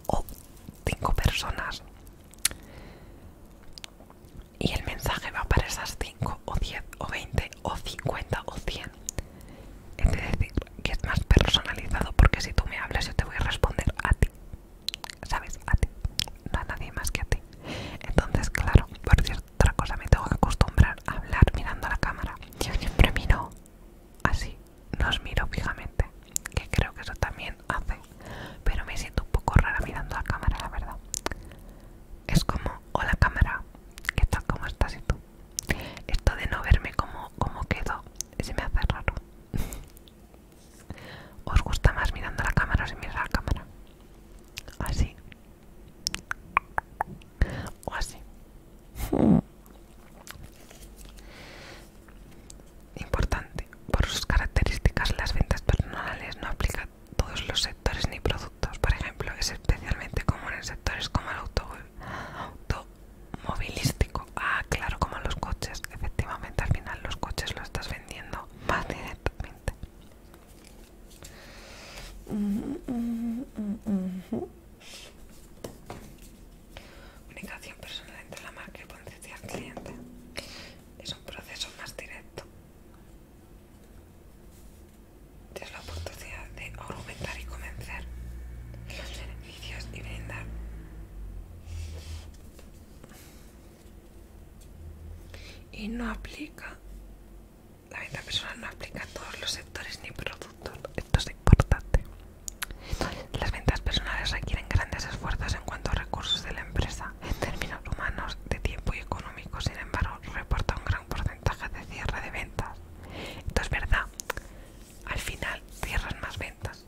o 5 personas, y el mensaje va para esas 5, o 10, o 20, o 50, o 100, es decir, que es más personalizado, porque si tú me hablas, yo te voy a responder a ti, ¿sabes? A ti, no a nadie más que a ti. Entonces, claro, por cierto otra cosa, me tengo que acostumbrar a hablar mirando a la cámara. Yo siempre miro así, no os miro fijamente, que creo que eso también hace. Pero me siento un poco rara mirando a la cámara, la verdad. Es como, hola cámara, ¿qué tal? ¿Cómo estás? ¿Y tú? Esto de no verme como, quedo, se me hace raro. ¿Os gusta más mirando a la cámara o mirar a la cámara? Así, o así hmm. importante por sus características las ventas personales no aplican todos los sectores ni productos por ejemplo es especialmente común en sectores como el automovilístico ah claro como los coches efectivamente al final los coches lo estás vendiendo más directamente Comunicación personal entre la marca y potencia cliente es un proceso más directo. Es la oportunidad de aumentar y convencer los beneficios y brindar y no aplica la venta personal no aplica a todos los sectores ni productos. Esto es importante. Las ventas personales requieren grandes esfuerzos en cuanto a recursos de la empresa, en términos humanos, de tiempo y económico. Sin embargo, reporta un gran porcentaje de cierre de ventas. Esto es verdad. Al final cierras más ventas.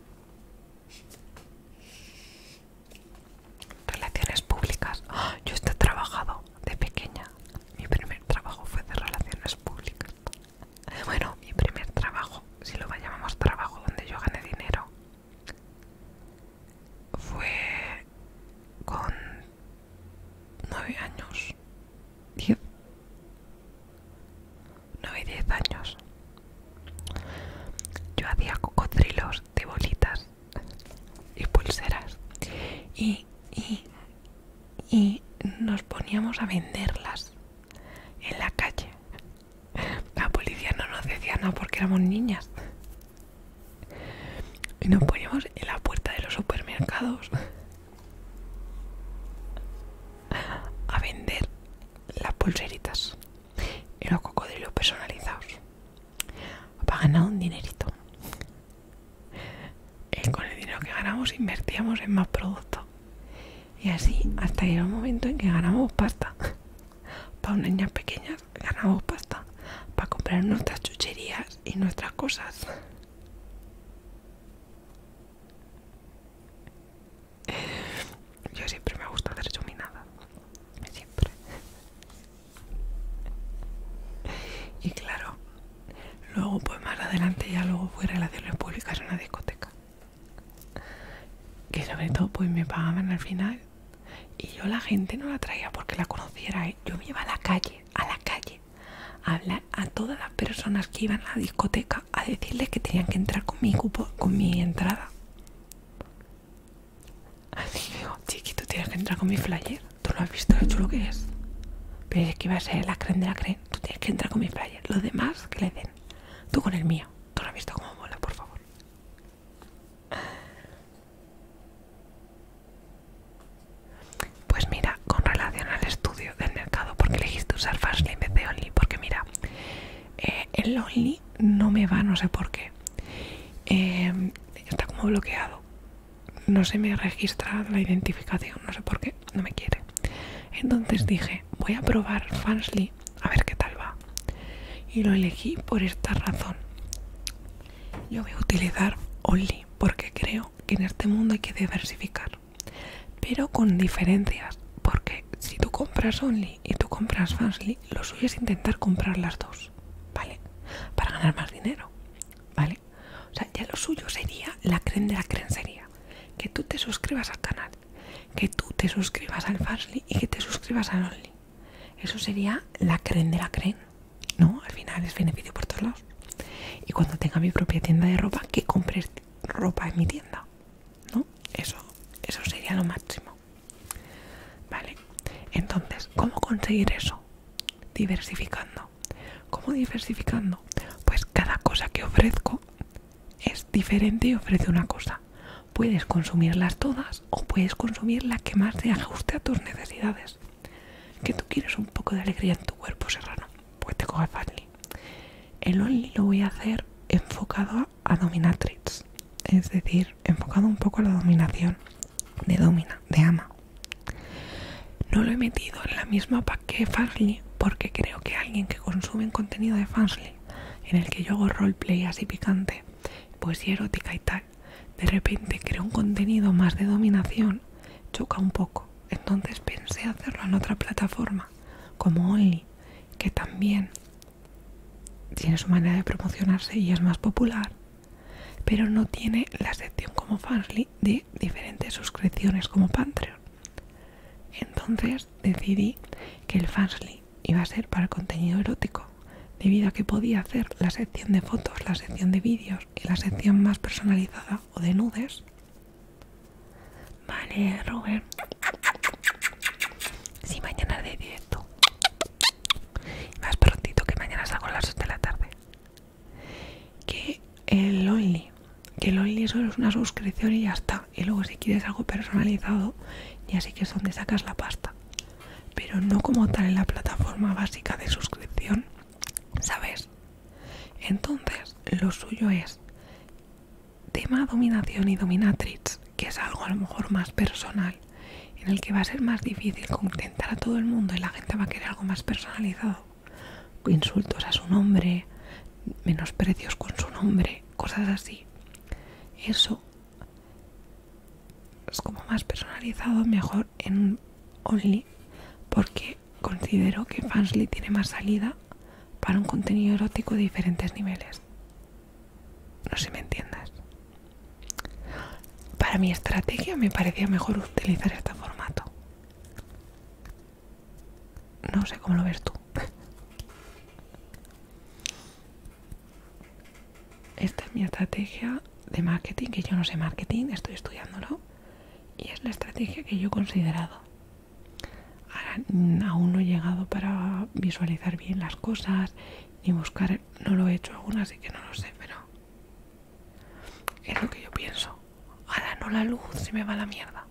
Relaciones públicas. ¡Ah! Yo estoy he trabajado de pequeña, mi primer trabajo fue de relaciones públicas. Bueno, mi primer trabajo, si lo llamamos trabajo donde yo gané dinero, fue con nueve años, diez, nueve y diez años. Yo hacía cocodrilos de bolitas y pulseras y, y, y nos poníamos a venderlas en la calle. La policía no nos decía nada porque éramos niñas. Y nos poníamos en la puerta de los supermercados a vender las pulseritas y los cocodrilos personalizados para ganar un dinerito. Y con el dinero que ganamos invertíamos en más productos y así hasta llegó el momento en que ganamos pasta para unas niñas pequeñas ganamos pasta para comprar nuestras chucherías y nuestras cosas yo siempre me gusta hacer chuminadas siempre y claro Luego, pues más adelante, ya luego fui relaciones públicas en una discoteca. Que sobre todo, pues me pagaban al final. Y yo la gente no la traía porque la conociera. ¿eh? Yo me iba a la calle, a la calle, a hablar a todas las personas que iban a la discoteca a decirles que tenían que entrar con mi con mi entrada. Así digo, chiquito, tienes que entrar con mi flyer. Tú lo has visto lo que es. Pero es que iba a ser la creen de la creen. Tú tienes que entrar con mi flyer. Los demás que le den. Tú con el mío. Tú lo has visto como mola, por favor. Pues mira, con relación al estudio del mercado, porque elegiste usar fastly en vez de Only, porque mira, eh, el Only no me va, no sé por qué. Eh, está como bloqueado no se me registra la identificación, no sé por qué, no me quiere. Entonces dije, voy a probar Fansly a ver qué tal va. Y lo elegí por esta razón. Yo voy a utilizar Only porque creo que en este mundo hay que diversificar, pero con diferencias, porque si tú compras Only y tú compras Fansly, lo suyo es intentar comprar las dos, ¿vale? Para ganar más dinero, ¿vale? O sea, ya lo suyo sería la creen de la sería Que tú te suscribas al canal, que tú te suscribas al Farsley y que te suscribas al Only. Eso sería la creen de la creen, ¿no? Al final es beneficio por todos lados. Y cuando tenga mi propia tienda de ropa, que compre ropa en mi tienda, ¿no? Eso, eso sería lo máximo. Vale, entonces, ¿cómo conseguir eso? Diversificando. ¿Cómo diversificando? Pues cada cosa que ofrezco es diferente y ofrece una cosa. Puedes consumirlas todas o puedes consumir la que más te ajuste a tus necesidades. Que tú quieres un poco de alegría en tu cuerpo serrano, pues te coge Fatly. El Only lo voy a hacer enfocado a dominatrix, es decir, enfocado un poco a la dominación, de domina, de ama. No lo he metido en la misma pack que Fansly porque creo que alguien que consume contenido de Fansly en el que yo hago roleplay así picante, poesía erótica y tal, de repente creo un contenido más de dominación, choca un poco. Entonces pensé hacerlo en otra plataforma como Only, que también tiene su manera de promocionarse y es más popular, pero no tiene la sección como Fansly de diferentes suscripciones como Patreon. Entonces decidí que el Fansly iba a ser para contenido erótico, debido a que podía hacer la sección de fotos, la sección de vídeos y la sección más personalizada o de nudes. Vale, Robert. Si mañana de directo. Más prontito que mañana salgo a las 8 de la tarde que el Only, que el Only solo es una suscripción y ya está. Y luego si quieres algo personalizado, ya sí que es donde sacas la pasta. Pero no como tal en la plataforma básica de suscripción, ¿sabes? Entonces, lo suyo es tema dominación y dominatrix, que es algo a lo mejor más personal, en el que va a ser más difícil contentar a todo el mundo y la gente va a querer algo más personalizado insultos a su nombre, menos precios con su nombre, cosas así. Eso es como más personalizado, mejor en Only, porque considero que Fansly tiene más salida para un contenido erótico de diferentes niveles. No sé me entiendas. Para mi estrategia me parecía mejor utilizar este formato. No sé cómo lo ves tú. Esta es mi estrategia de marketing, que yo no sé marketing, estoy estudiándolo. Y es la estrategia que yo he considerado. Ahora mm, aún no he llegado para visualizar bien las cosas, ni buscar... No lo he hecho aún, así que no lo sé, pero es lo que yo pienso. Ahora no la luz, se me va la mierda.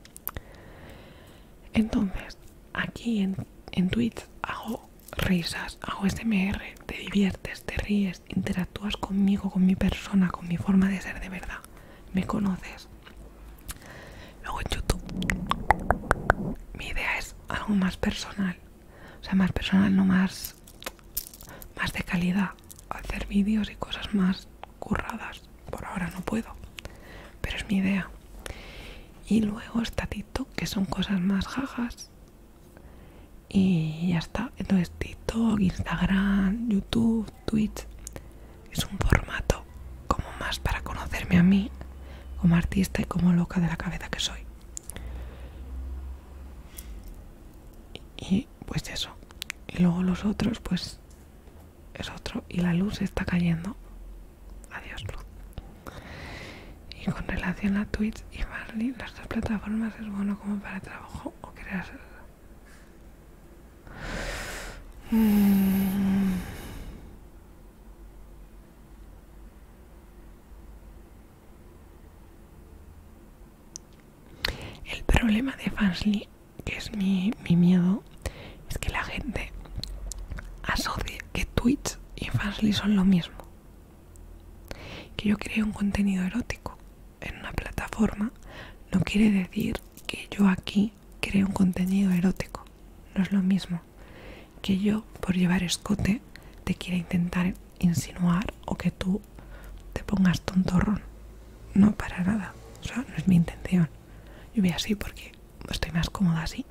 Entonces, aquí en, en Twitch hago risas, hago SMR, te diviertes, te ríes, interactúas conmigo, con mi persona, con mi forma de ser de verdad. Me conoces. Luego en YouTube. Mi idea es algo más personal. O sea, más personal, no más, más de calidad. Hacer vídeos y cosas más curradas. Por ahora no puedo, pero es mi idea. Y luego está tiktok que son cosas más jajas. Y ya está. Entonces TikTok, Instagram, YouTube, Twitch. Es un formato como más para conocerme a mí como artista y como loca de la cabeza que soy. Y pues eso. Y luego los otros pues es, otro y la luz está cayendo. Adiós luz. Y con relación a Twitch y Marley, las dos plataformas es bueno como para trabajo o crear... Mm. El problema de Fansly, que es mi, miedo, es que la gente asocia que Twitch y Fansly son lo mismo. Que yo cree un contenido erótico en una plataforma no quiere decir que yo aquí cree un contenido erótico. No es lo mismo que yo, por llevar escote, te quiera intentar insinuar o que tú te pongas tontorrón. No, para nada. O sea, no es mi intención. Yo voy así porque estoy más cómoda así.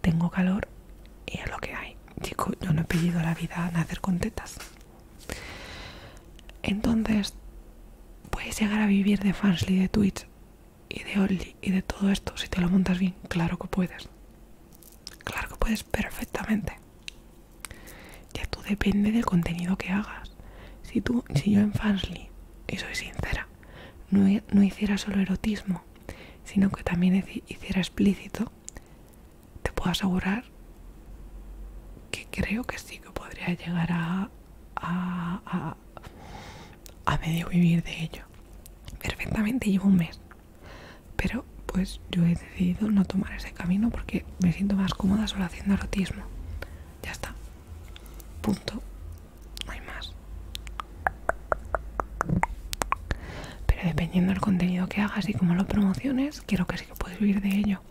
Tengo calor y es lo que hay. Chico, yo no he pedido la vida a nacer con tetas. Entonces, puedes llegar a vivir de Fansly, de Twitch y de Olly y de todo esto si te lo montas bien. Claro que puedes. Claro que puedes perfectamente ya tú depende del contenido que hagas. Si tú, si yo en Fansly, y soy sincera, no, hiciera solo erotismo, sino que también hiciera explícito, te puedo asegurar que creo que sí que podría llegar a, a medio vivir de ello. Perfectamente llevo un mes, pero pues yo he decidido no tomar ese camino porque me siento más cómoda solo haciendo erotismo. Ya está. Punto. No hay más. Pero dependiendo del contenido que hagas y cómo lo promociones, quiero que sí que puedes vivir de ello.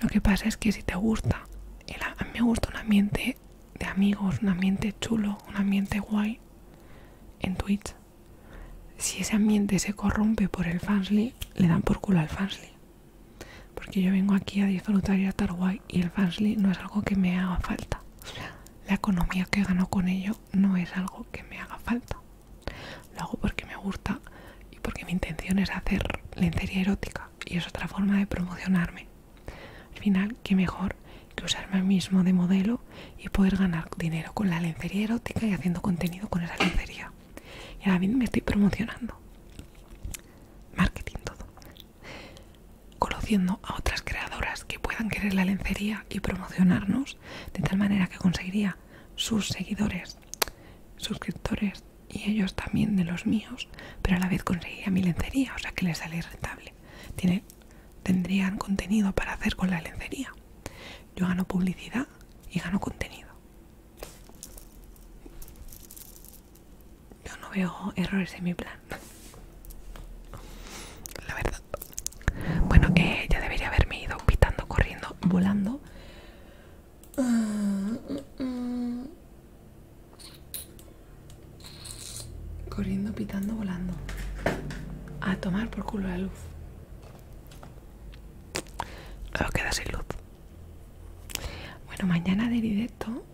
Lo que pasa es que si te gusta, a mí me gusta un ambiente de amigos, un ambiente chulo, un ambiente guay en Twitch. Si ese ambiente se corrompe por el fansly, le dan por culo al fansly. Porque yo vengo aquí a disfrutar y a estar y el Fansly no es algo que me haga falta. la economía que gano con ello no es algo que me haga falta. Lo hago porque me gusta y porque mi intención es hacer lencería erótica y es otra forma de promocionarme. Al final, qué mejor que usarme a mí mismo de modelo y poder ganar dinero con la lencería erótica y haciendo contenido con esa lencería. Y ahora bien me estoy promocionando. Marketing todo. Conociendo a otras creadoras que puedan querer la lencería y promocionarnos de tal manera que conseguiría sus seguidores, suscriptores y ellos también de los míos, pero a la vez conseguiría mi lencería, o sea que les sale rentable. tendrían contenido para hacer con la lencería. Yo gano publicidad y gano contenido. Yo no veo errores en mi plan. La verdad. Bueno, ella eh, ya debería haberme ido pitando, corriendo, volando. Corriendo, pitando, volando. A tomar por culo la luz. Luego queda sin luz. Bueno, mañana de directo.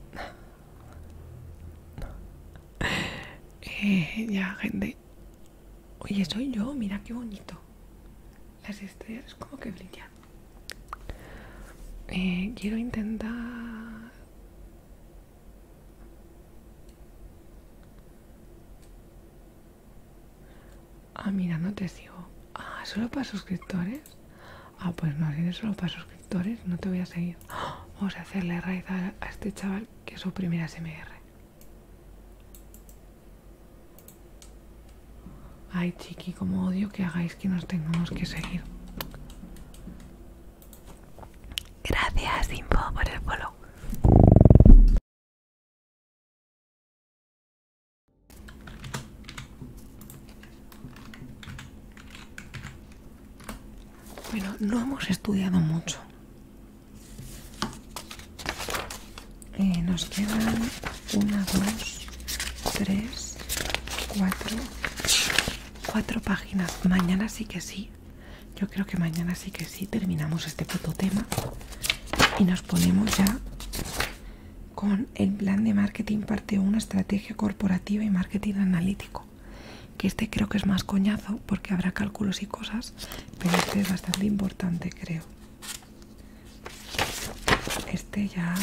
Eh, ya, gente. Oye, soy yo, mira qué bonito. Las estrellas como que brillan. Eh, quiero intentar... Ah, mira, no te sigo. Ah, solo para suscriptores. Ah, pues no, si eres solo para suscriptores, no te voy a seguir. Vamos a hacerle raíz a, este chaval que es su primera SMR. Ay, chiqui, como odio que hagáis que nos tengamos que seguir. Gracias, Info, por el follow. Bueno, no hemos estudiado mucho. Eh, nos quedan una, dos, tres, cuatro, cuatro páginas. Mañana sí que sí. Yo creo que mañana sí que sí terminamos este fototema. y nos ponemos ya con el plan de marketing parte una estrategia corporativa y marketing analítico. Que este creo que es más coñazo porque habrá cálculos y cosas, pero este es bastante importante, creo. Este ya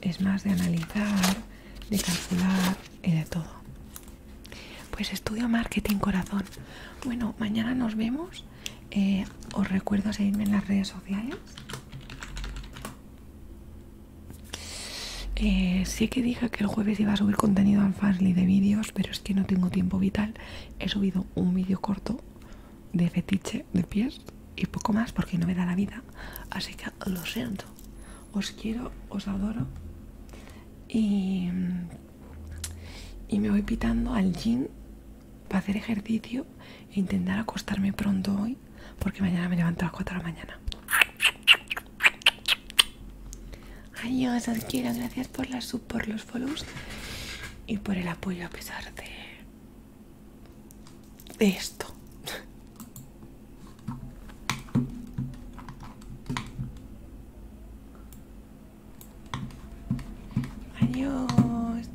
es más de analizar, de calcular y de todo. Pues estudio marketing corazón. Bueno, mañana nos vemos. Eh, os recuerdo seguirme en las redes sociales eh, sé que dije que el jueves iba a subir contenido al Fastly de vídeos, pero es que no tengo tiempo vital. He subido un vídeo corto de fetiche de pies y poco más porque no me da la vida. Así que lo siento. Os quiero, os adoro. Y, me voy pitando al gym para hacer ejercicio intentar acostarme pronto hoy porque mañana me levanto a las 4 de la mañana. Adiós, os Gracias por las sub, por los follows y por el apoyo a pesar de, de esto. Adiós.